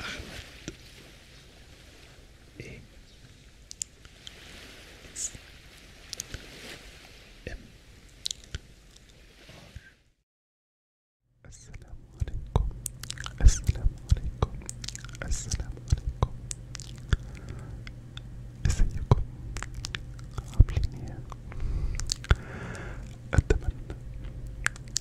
أحمد إيه إس إم آر السلام عليكم السلام عليكم السلام عليكم ازيكم عاملين ايه اتمنى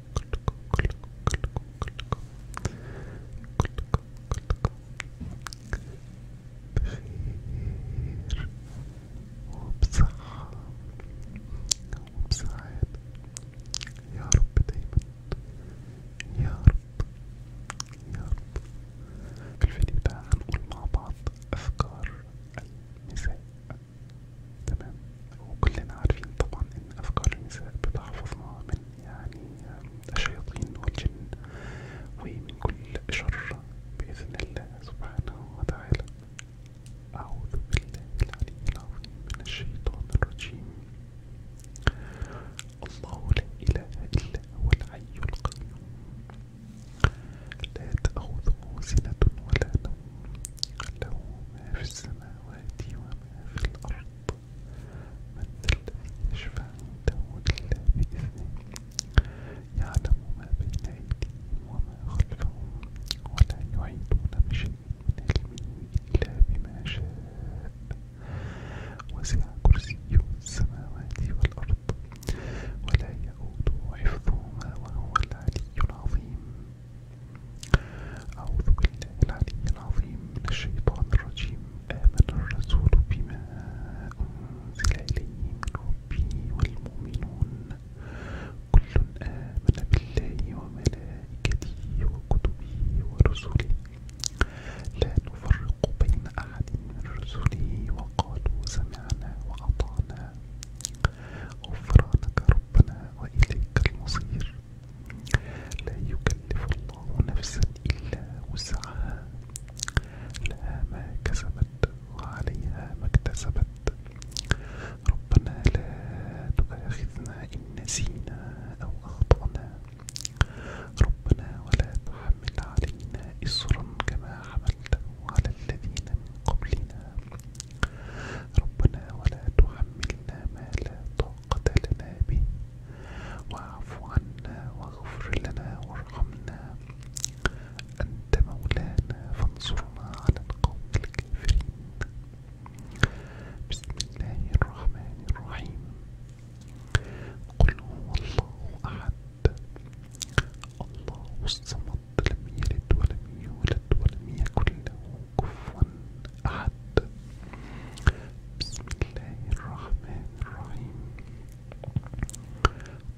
كلكم كلكم كلكم كلكم كلكم كلكم بخير وبصحة وبسعادة يا رب دايما يا رب يا رب في الفيديو ده هنقول مع بعض أفكار المساء تمام وكلنا عارفين طبعا ان افكار النساء بتحفظنا من يعني الشياطين والجن ومن كل شر باذن الله سبحانه وتعالى اعوذ بالله العلي العظيم من الشيطان الرجيم الله لا اله الا هو الحي القيوم لا تاخذه سنه ولا نوم له ما في السماوات وما في الأرض من الذي يشفع عنده إلا بإذنه يعلم ما بين أيديهم وما خلفهم ولا يعيدون بشيء من علمه إلا بما شاء وسع كرسيه السماوات والأرض ولا يؤوده حفظهما وهو العلي العظيم أعوذ بالله العلي العظيم من الشيطان الرجيم آمن الرسول بما أنزل إليه من ربه والمؤمنون كل آمن بالله وملائكته وكتبه ورسله لا نفرق بين أحد من رسله وقالوا سمعنا وأطعنا غفرانك ربنا وإليك المصير لا يكلف الله نفسا إلا وسعها لها ما كسبت وعليها ما اكتسبت ربنا لا تؤاخذنا إن نسينا أو أخطأنا ربنا ولا تحمل علينا إصرا كما حملته على الذين من قبلنا ربنا ولا تحملنا ما لا طاقة لنا به واعف عنا واغفر لنا وارحمنا أنت مولانا فانصرنا على القوم الكافرين بسم الله الرحمن الرحيم قل هو الله أحد الله الصمد لم يلد ولم يولد ولم يكن له كفوا أحد بسم الله الرحمن الرحيم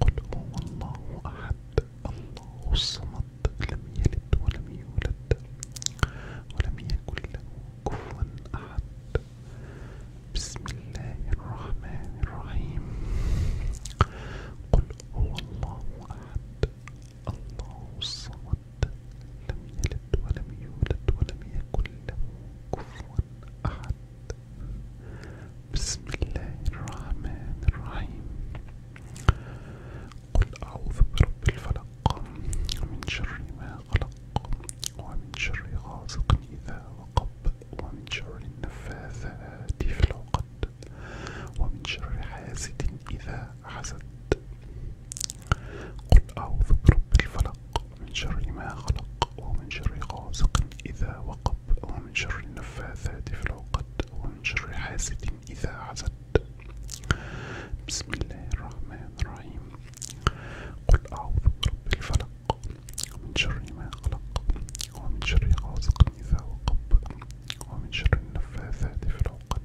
قل هو الله أحد الله الصمد لم يلد ولم يولد ولم يكن له كفوا أحد بسم الله الرحمن الرحيم قل هو الله أحد الله الصمد لم يلد ولم يولد ولم يكن له كفوا أحد بسم الله الرحمن الرحيم قل أعوذ برب الفلق من شر ما خلق ومن شر غاسق إذا وقب ومن شر النفاثات في العقد ومن شر حاسد إذا حسد قل أعوذ برب الفلق من شر ما خلق ومن شر غاسق إذا وقب ومن شر النفاثات في العقد ومن شر حاسد إذا حسد بسم الله الرحمن الرحيم قل أعوذ برب الفلق ومن شر ما خلق ومن شر غاسق إذا وقب ومن شر النفاثات في العقد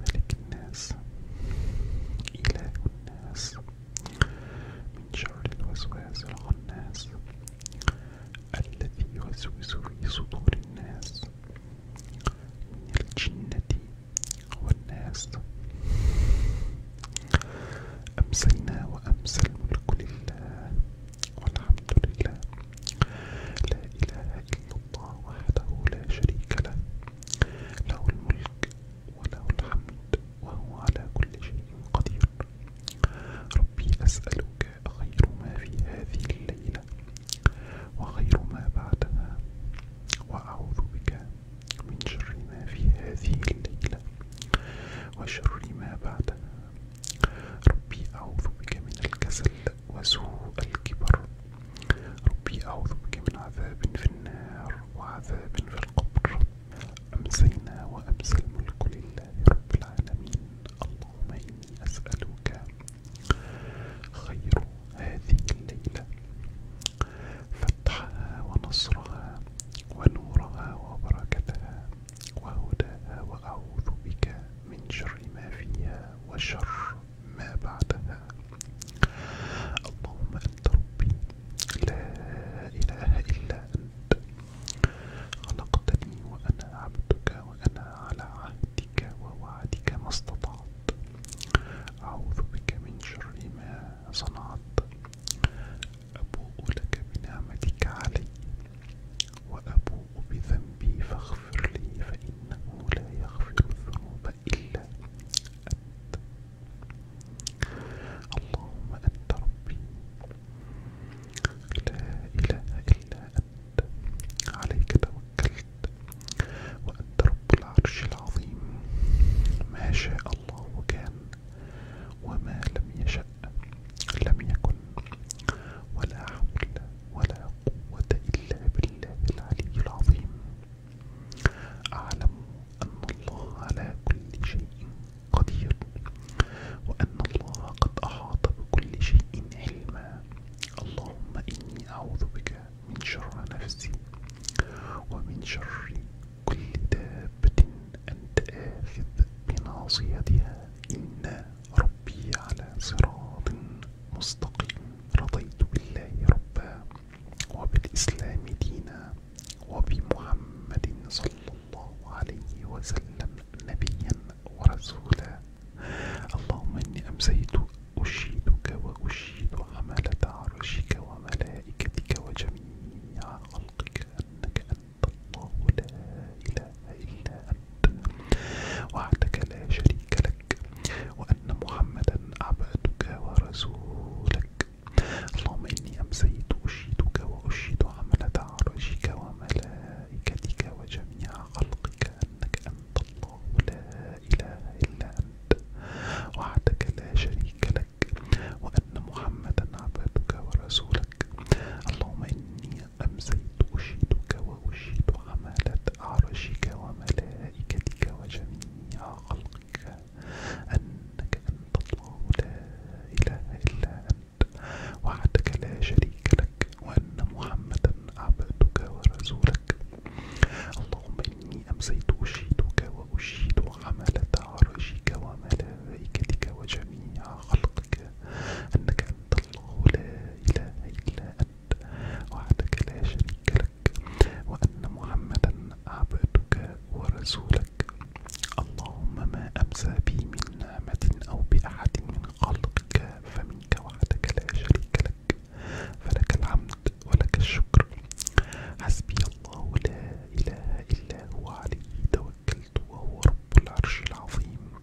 ملك الناس إله الناس من شر الوسواس الخناس الذي يوسوس في صدور الناس من الجنة والناس أمسينا وأمسى الملك لله والحمد لله لا إله إلا الله وحده لا شريك له له الملك وله الحمد وهو على كل شيء قدير ربي أسألك خير ما في هذه الليلة وخير ما بعدها وأعوذ بك من شر ما في هذه الليلة وشر ما بعدها ربي أعوذ بك من الكسل وسوء الكبر ربي أعوذ بك من عذاب في النار وعذاب في القبر أمسينا وأمسى الملك لله رب العالمين اللهم إني أسألك خير هذه الليلة فتحها ونصرها ونورها وبركتها وهداها وأعوذ بك من شر ما فيها وشر ما بعدها اللهم أنت ربي لا إله إلا أنت خلقتني وأنا عبدك وأنا على عهدك ووعدك ما استطعت أعوذ بك من شر ما صنعت أبوء لك بنعمتك علي وأبوء بذنبي فاغفر لي فإنه لا يغفر الذنوب إلا أنت اللهم أنت ربي لا إله إلا أنت عليك توكلت وأنت رب العرش العظيم ما شاء الله كان وما لم يشأ لم يكن ولا حول ولا قوة إلا بالله العلي العظيم أعلم أن الله على كل شيء قدير وأن الله قد أحاط بكل شيء علما اللهم إني أعوذ بك من شر نفسي ومن شر كل دابة أنت آخذ بناصيتها إنا ربي على صراط مستقيم رضيت بالله ربا وبالإسلام دينا وبمحمد صلى الله عليه وسلم نبيا ورسولا اللهم إني أمسيت أشهدك وأشهد حملة عرشك وملائكتك وجميع خلقك أنك أنت الله لا إله إلا أنت وحدك لا شريك لك وأن محمدا عبدك ورسولك اللهم إني أمسيت أشهدك وأشهد عملة عرشك وملائكتك وجميع خلقك أنك أنت الله لا إله إلا أنت وحدك لا شريك لك وأن محمدا عبدك ورسولك اللهم إني أمسيت أشيدك وأشيد حمالة عرشك وملائكتك وجميع خلقك أنك أنت الله لا إله إلا أنت وحدك لا شريك لك وأن محمدا عبدك ورسولك اللهم إني أمسيت أشيدك وأشيد حملة عرشك وملائكتك وجميع خلقك أنك أنت الله لا إله إلا أنت وحدك لا شريك لك وأن محمدا عبدك ورسولك اللهم ما أمسى بي من نعمة أو بأحد من خلقك فمنك وحدك لا شريك لك فلك الحمد ولك الشكر حسبي الله لا إله إلا هو عليه توكلت وهو رب العرش العظيم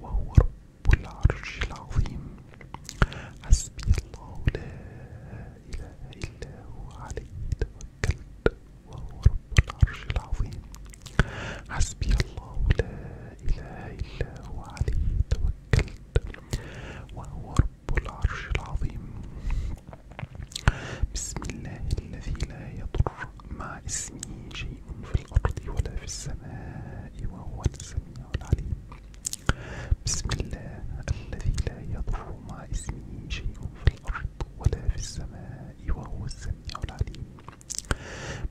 وهو رب العرش العظيم حسبي الله لا إله إلا هو عليه توكلت وهو رب العرش العظيم حسبي الله لا إله إلا هو عليه توكلت وهو رب العرش العظيم بسم الله الذي لا يضر مع اسمه شيء في الأرض ولا في السماء وهو السميع العليم بسم الله الذي لا يضر مع اسمه شيء في الأرض ولا في السماء وهو السميع العليم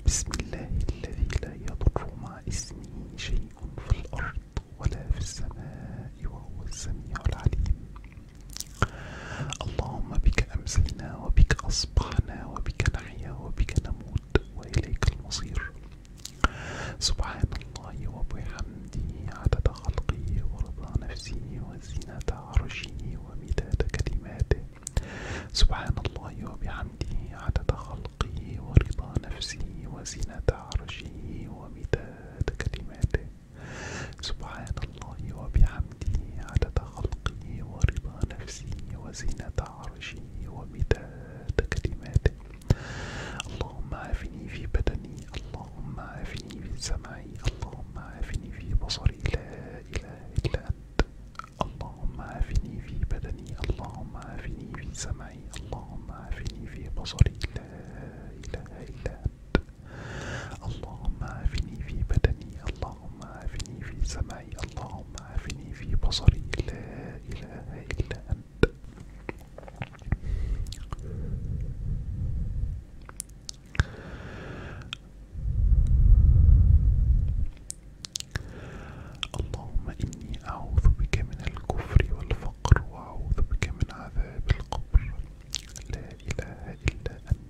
بسم الله الذي لا يضر مع اسمه شيء في الأرض ولا في السماء وهو السميع العليم اللهم بك أمسينا وبك أصبحنا وبك بك نحيا وبك نموت وإليك المصير سبحان الله وبحمده عدد خلقه ورضا نفسه وزينة عرشه ومداد كلماته سبحان الله وبحمده عدد خلقه ورضا نفسه وزينة عرشه ومداد كلماته سبحان الله وبحمده حمده عدد خلقه ورضا نفسه وزنة عرشه ومداد كلماته اللهم عافني في بدني اللهم عافني في سمعي اللهم عافني في بصري لا إله إلا أنت اللهم عافني في بدني اللهم عافني في سمعي اللهم عافني في بصري لا إله إلا أنت اللهم عافني في بدني اللهم اللهم عافني في سمعي اللهم عافني في بصري لا إله إلا أنت اللهم إني أعوذ بك من الكفر والفقر وأعوذ بك من عذاب القبر لا إله إلا أنت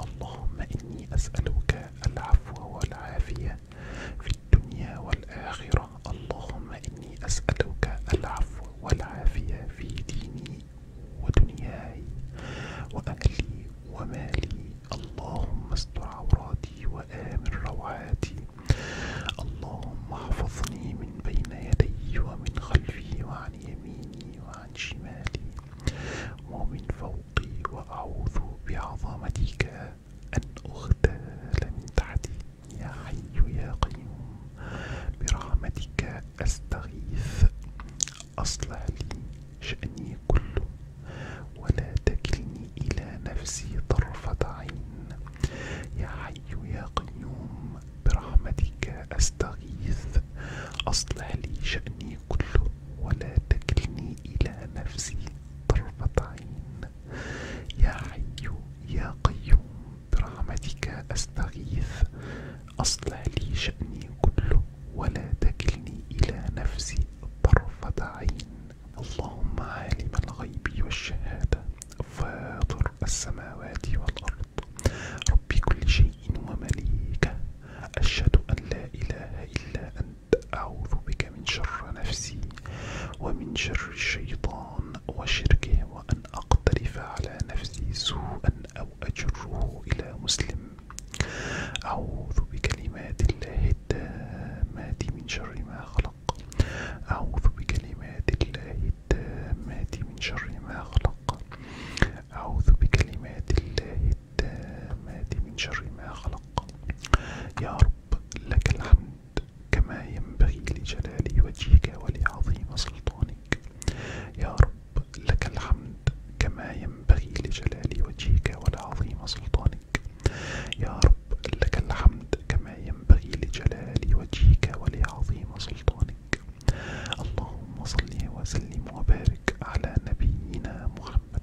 اللهم إني أسألك العفو والعافية في الدنيا والآخرة اللهم إني أسألك العفو والعافية في ديني ودنياي وأهلي ومالي اللهم استر عوراتي وآمن روعاتي اللهم احفظني من بين يدي ومن خلفي وعن يميني وعن شمالي ومن فوقي عنقي وأعوذ بعظمتك أن أغتال من تحتي يا حي يا قيوم برحمتك أستغيث أصلح لي شأني كله ولا تكلني إلى نفسي طرفة عين يا حي يا قيوم برحمتك أستغيث أصلح لي شأني كله ولا تكلني إلى نفسي طرفة عين يا حي يا قيوم برحمتك أستغيث أصلح لي شأني كله ولا تكلني إلى نفسي طرفة عين اللهم عالم الغيب والشهادة فاطر السماوات والأرض رب كل شيء ومليكه أشهد أن لا إله إلا أنت أعوذ بك من شر نفسي ومن شر الشيطان وشركه وأن أقترف على نفسي سوءا أو أجره إلى مسلم أعوذ بكلمات الله التامات من شر ما خلق أعوذ بكلمات الله التامات من شر ما خلق أعوذ بكلمات الله التامة من شر ما خلق يا رب لك الحمد كما ينبغي لجلال وجهك ولعظيم سلطانك يا رب لك الحمد كما ينبغي لجلال وجهك ولعظيم سلطانك يا رب لك الحمد كما ينبغي لجلال وجهك ولعظيم سلطانك اللهم صل وسلم وبارك على نبينا محمد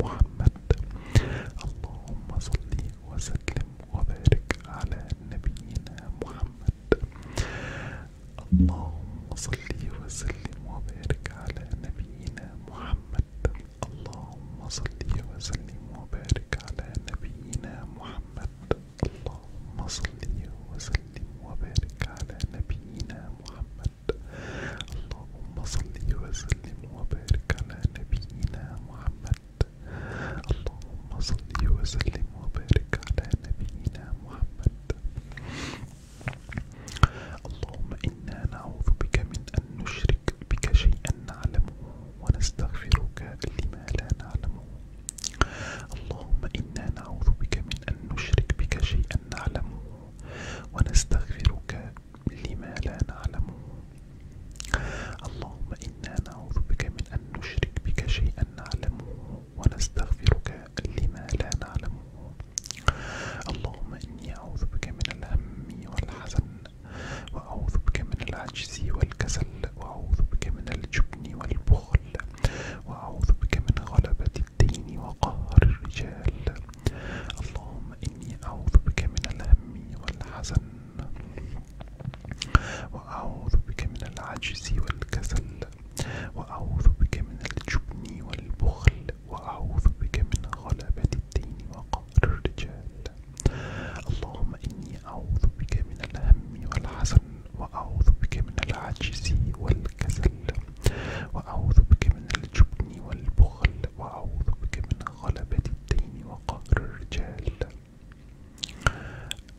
محمد اللهم صل وسلم وبارك على نبينا محمد اللهم صل وسلم وبارك على نبينا محمد اللهم صل وسلم وبارك على نبينا محمد اللهم صل وسلم وبارك على نبينا محمد اللهم صل وسلم وبارك على نبينا محمد اللهم صل وسلم وبارك على نبينا محمد اللهم إنا نعوذ بك من أن نشرك بك شيئا نعلمه ونستغفرك لما لا نعلمه اللهم إنا نعوذ بك من أن نشرك بك شيئا نعلمه ونستغفرك لما لا نعلمه اللهم إنا نعوذ بك من أن نشرك بك شيئا نعلمه ونستغفرك لما لا نعلمه اللهم إني أعوذ بك من الهم والحزن وأعوذ بك من العجز والكسل وأعوذ بك من الجبن والبخل وأعوذ بك من غلبة الدين وقهر الرجال اللهم إني أعوذ بك من الهم والحزن وأعوذ بك من العجز والكسل وأعوذ بك من الجبن والبخل وأعوذ بك من غلبة الدين وقهر الرجال اللهم إني أعوذ بك من الهم والحزن وأعوذ بك من العجز والكسل وأعوذ بك من الجبن والبخل وأعوذ بك من غلبة الدين وقهر الرجال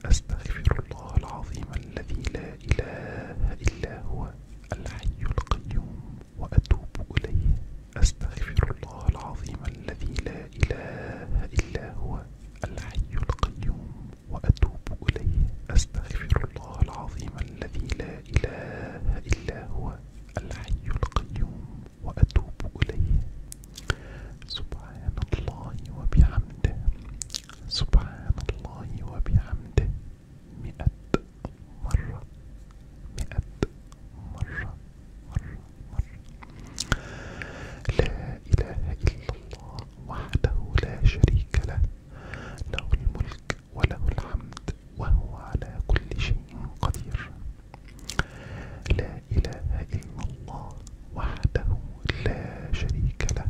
أستغفر الله العظيم الذي لا إله إلا هو الحي القيوم وأتوب إليه أستغفر الله العظيم الذي لا إله إلا هو الحي القيوم وأتوب إليه أستغفر الله العظيم الذي لا إله إلا هو الحي القيوم وأتوب إليه سبحان الله وبحمده سبحان الله وبحمده مئة مرة مئة مرة مرة مرة لا إله إلا الله وحده لا شريك له له الملك وله الحمد وهو على كل شيء قدير لا إله إلا الله وحده لا شريك له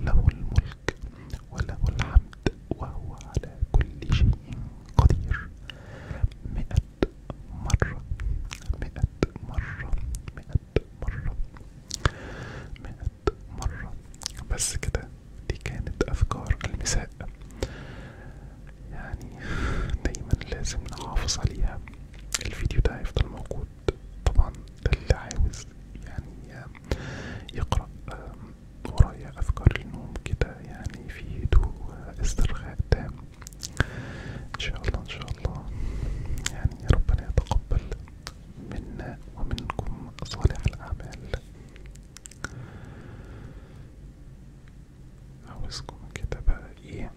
له الملك وله الحمد وهو على كل شيء قدير مئة مرة مئة مرة مئة مرة مئة مرة بس كده دي كانت أفكار المساء يعني دايما لازم نحافظ عليها الفيديو ده هيفضل موجود طبعا اللي عاوز يعني يقرأ ورايا أفكار النوم كده يعني في هدوء واسترخاء تام إن شاء الله إن شاء الله يعني ربنا يتقبل منا ومنكم صالح الأعمال عاوزكم كده بقى ايه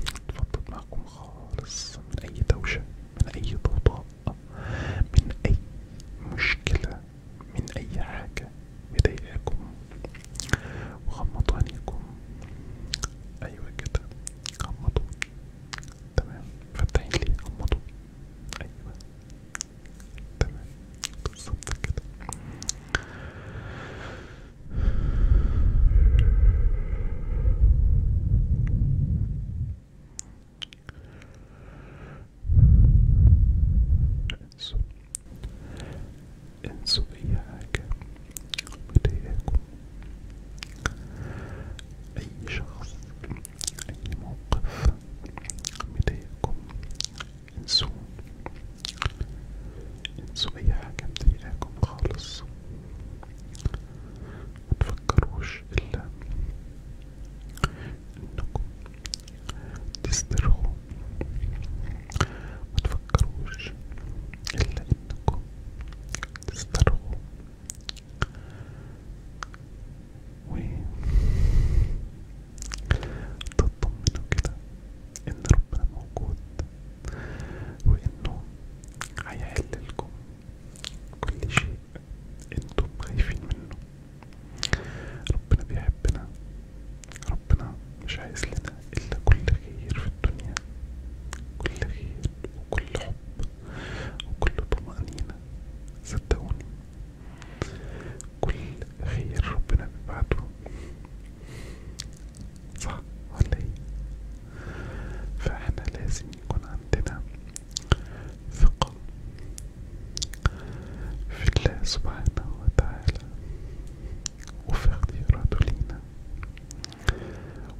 اتفضل معكم خالص من اي دوشة من اي ضوضاء من اي مشكلة من اي حاجة مضايقاكم وغمضوا عينيكم ايوه كده غمضوا تمام فتحين لي غمضوا ايوه تمام بالظبط كده انسوا انسوا اي حاجة بتضايقكم اي شخص اي موقف بيضايقكم انسوا انسوا اي حاجة مضايقاكم خالص متفكروش الا انكم تسترخوا متفكروش الا انكم تسترخوا و تطمنوا كده ان ربنا موجود وانه هيحللكم كل شيء انتم خايفين منه ربنا بيحبنا ربنا مش عايز لنا الا كل خير في الدنيا كل خير وكل حب وكل طمأنينة صدقوني كل خير ربنا بيبعته صح ولا ايه فاحنا لازم يكون عندنا ثقة في الله سبحانه وتعالى وفي اختياراته لينا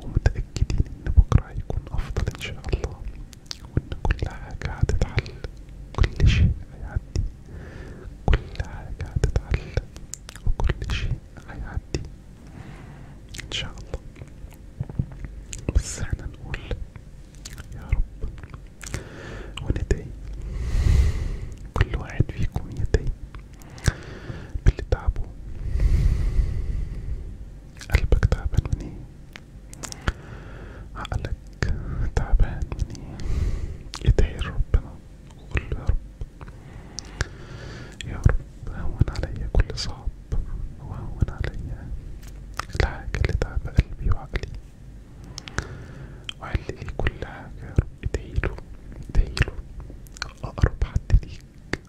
ومتأكدين ان بكرة هيكون افضل ان شاء الله وان كل حاجة هتتحل كل شيء هيعدي كل حاجة هتتعلم وكل شيء هيعدي ان شاء الله بس احنا نقول يا رب وندعي كل واحد فيكم يدعي باللي تعبه قلبك تعبان من ايه عقلك قلبك تعبان مني ادعي إيه لربنا وقل يا رب يا رب هون علي كل صعب وهون علي الحاجة اللي تعب قلبي وعقلي وعلي إيه كل حاجة يا رب ادعيله ادعيله أقرب حد ليك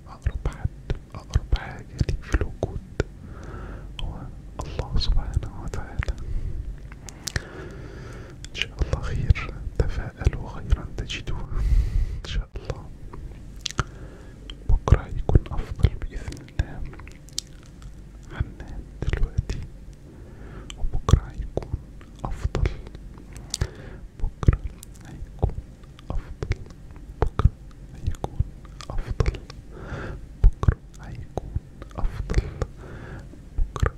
أقرب حد أقرب حاجة ليك في الوجود هو الله سبحانه وتعالى إن شاء الله خير تفاءلوا خيرا تجدوه إن شاء الله بكرة يكون أفضل بإذن الله عنا دلوقتي وبكرة هيكون أفضل بكرة هيكون أفضل بكرة هيكون أفضل بكرة هيكون أفضل بكرة